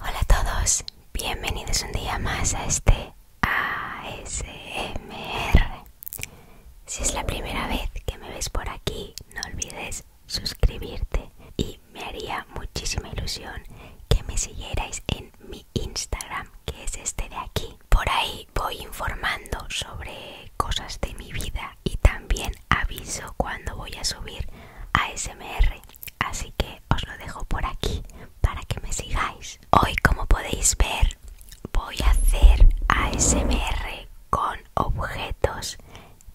Hola a todos, bienvenidos un día más a este ASMR. Si es la primera vez que me ves por aquí, no olvides suscribirte y me haría muchísima ilusión que me siguierais en mi Instagram, que es este de aquí, por ahí voy informando sobre cosas de mi vida y también aviso cuando voy a subir ASMR Así que os lo dejo por aquí para que me sigáis. Hoy, como podéis ver, voy a hacer ASMR con objetos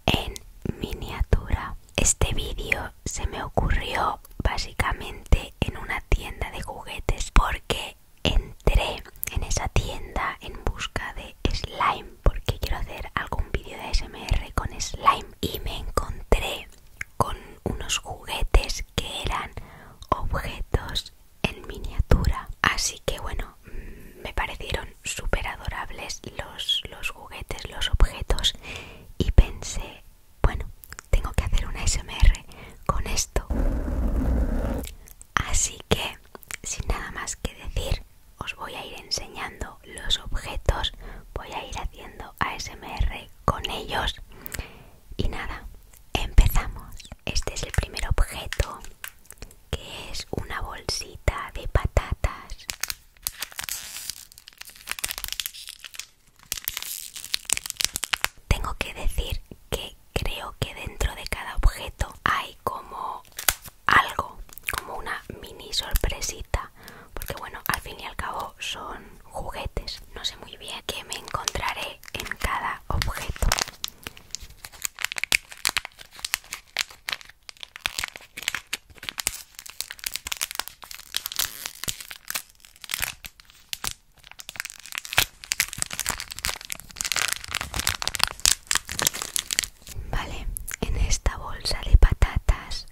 en miniatura. Este vídeo se me ocurrió básicamente en una tienda de juguetes porque entré en esa tienda en busca de slime porque quiero hacer algún vídeo de ASMR con slime y me encontré con unos juguetes que eran objetos en miniatura así que bueno mm, me parecieron súper adorables los, los juguetes los objetos y pensé bueno, tengo que hacer un ASMR con esto. Así que, sin nada más que decir, os voy a ir enseñando los objetos, voy a ir haciendo ASMR con ellos. Y nada, empezamos. Este es el primer objeto, que es una bolsita de patatas. Tengo que decir que creo que dentro de cada objeto hay como algo, como una mini sorpresita, porque bueno, al fin y al cabo son juguetes. No sé muy bien qué me encontraré en cada objeto. Vale, en esta bolsa de patatas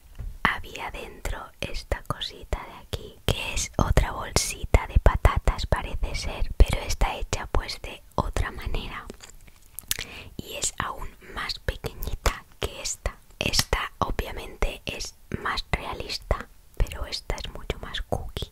había dentro esta cosita de aquí, que es otra bolsita de patatas parece ser, pero está hecha pues de otra manera y es aún más pequeñita que esta. Esta obviamente es más realista pero esta es mucho más cookie.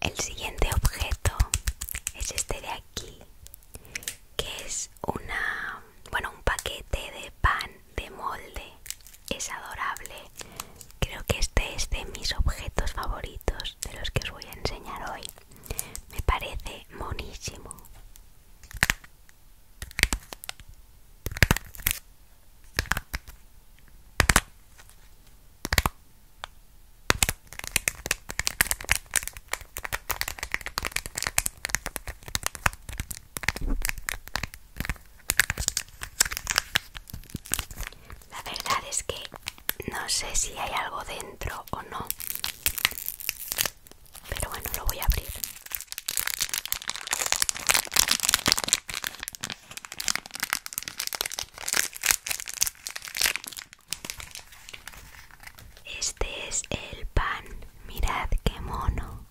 El siguiente objeto es este de aquí, que es una, bueno, un paquete de pan de molde. Es adorable. Creo que este es de mis objetos favoritos, de los que os voy a enseñar hoy. Me parece monísimo. La verdad es que no sé si hay algo dentro o no. Pero bueno, lo voy a abrir. Este es el pan, mirad qué mono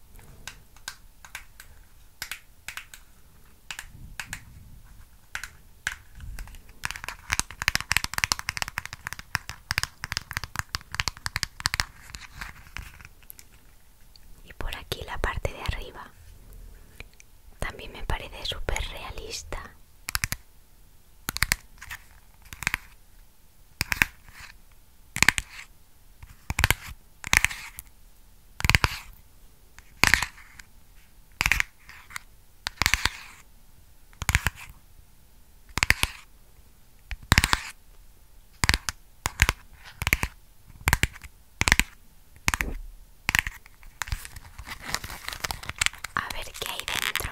y por aquí la parte de arriba también me parece súper realista a ver qué hay dentro.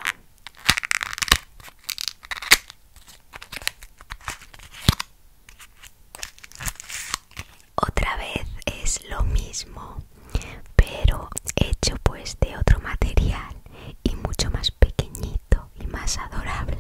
Otra vez es lo mismo, pero hecho pues de otro material y mucho más pequeñito y más adorable.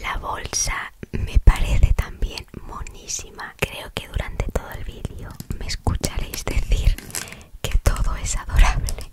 La bolsa me parece también monísima. Creo que durante todo el vídeo me escucharéis decir que todo es adorable.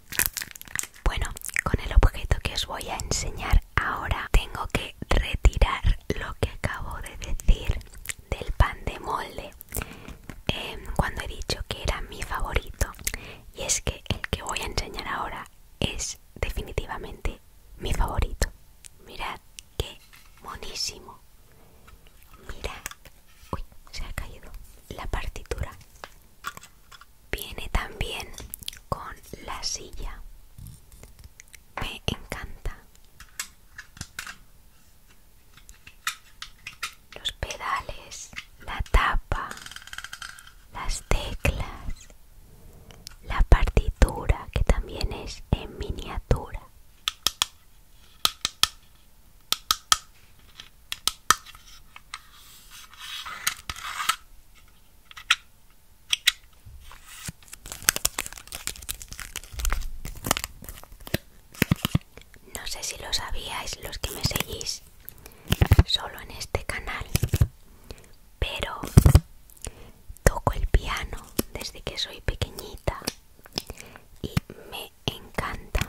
Bueno, con el objeto que os voy a enseñar ahora tengo que retirar lo que acabo de decir del pan de molde em, cuando he dicho que era mi favorito y es que el que voy a enseñar ahora es definitivamente mi favorito mirad qué monísimo mirad Uy, se ha caído la partitura. Viene también con la silla. Me encanta. Los pedales, la tapa, las teclas, la partitura que también es en miniatura. No sé si lo sabíais los que me seguís solo en este canal, pero toco el piano desde que soy pequeñita y me encanta.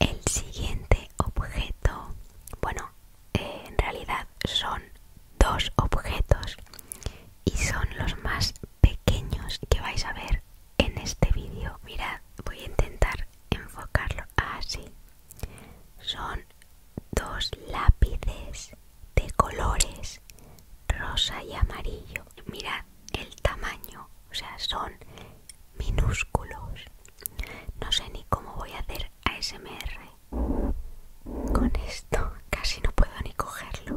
El siguiente objeto, bueno, eh, en realidad son dos objetos y son los más pequeños que vais a ver en este vídeo. Mirad, voy a intentar enfocarlo así. Son dos lápices de colores rosa y amarillo. Mirad el tamaño, o sea, son minúsculos. No sé ni cómo voy a hacer ASMR. Con esto casi no puedo ni cogerlo.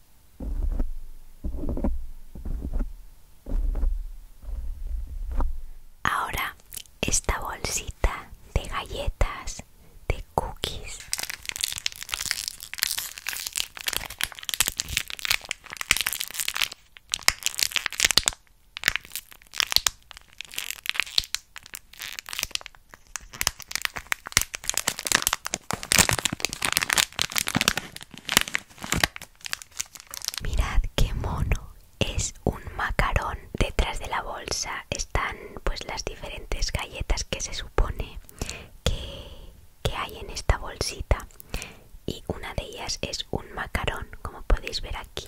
Ahora esta bolsita de galletas, de cookies. Mirad qué mono, es un macarón. Detrás de la bolsa están pues las diferentes galletas que se supone que, que hay en esta bolsita y una de ellas es un macarón, como podéis ver aquí.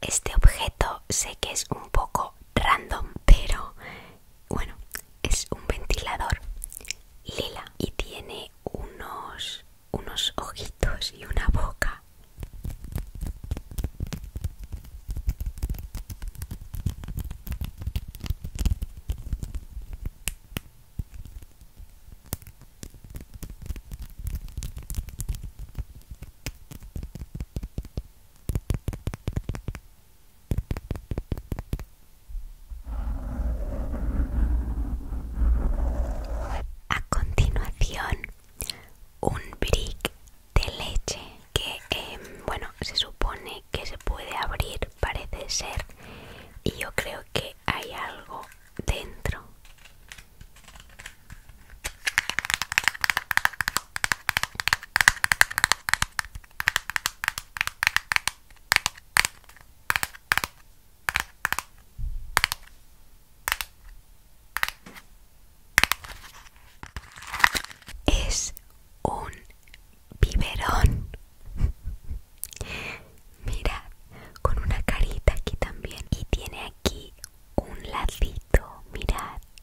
este objeto sé que es un poco random, pero bueno, es un ventilador lila y tiene unos, unos ojitos y una boca. A continuación, un brick de leche que, em, bueno, se supone que se puede abrir, parece ser, y yo creo que hay algo dentro. Es un biberón. Mira, con una carita aquí también. Y tiene aquí un ladito, mirad.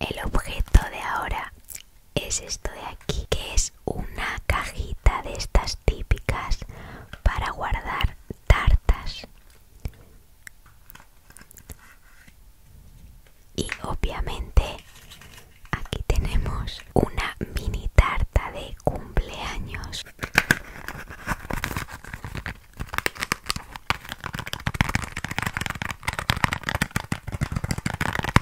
El objeto de ahora es esto de aquí, que es una cajita de estas típicas para guardar tartas. Y obviamente aquí tenemos una mini tarta de cumpleaños.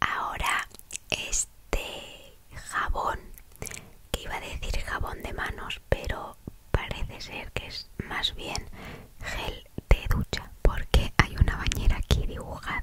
Ahora este jabón, que iba a decir jabón de manos, pero parece ser que es más bien gel de ducha, porque hay una bañera aquí dibujada.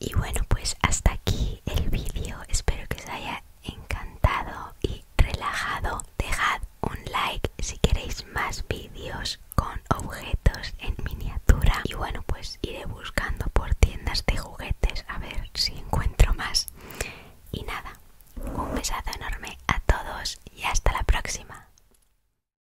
Y bueno, pues hasta aquí el vídeo. Espero que os haya encantado y relajado. Dejad un like si queréis más vídeos con objetos en miniatura. Y bueno, pues iré buscando por tiendas de juguetes a ver si encuentro más. Y nada, un besazo enorme a todos y hasta la próxima.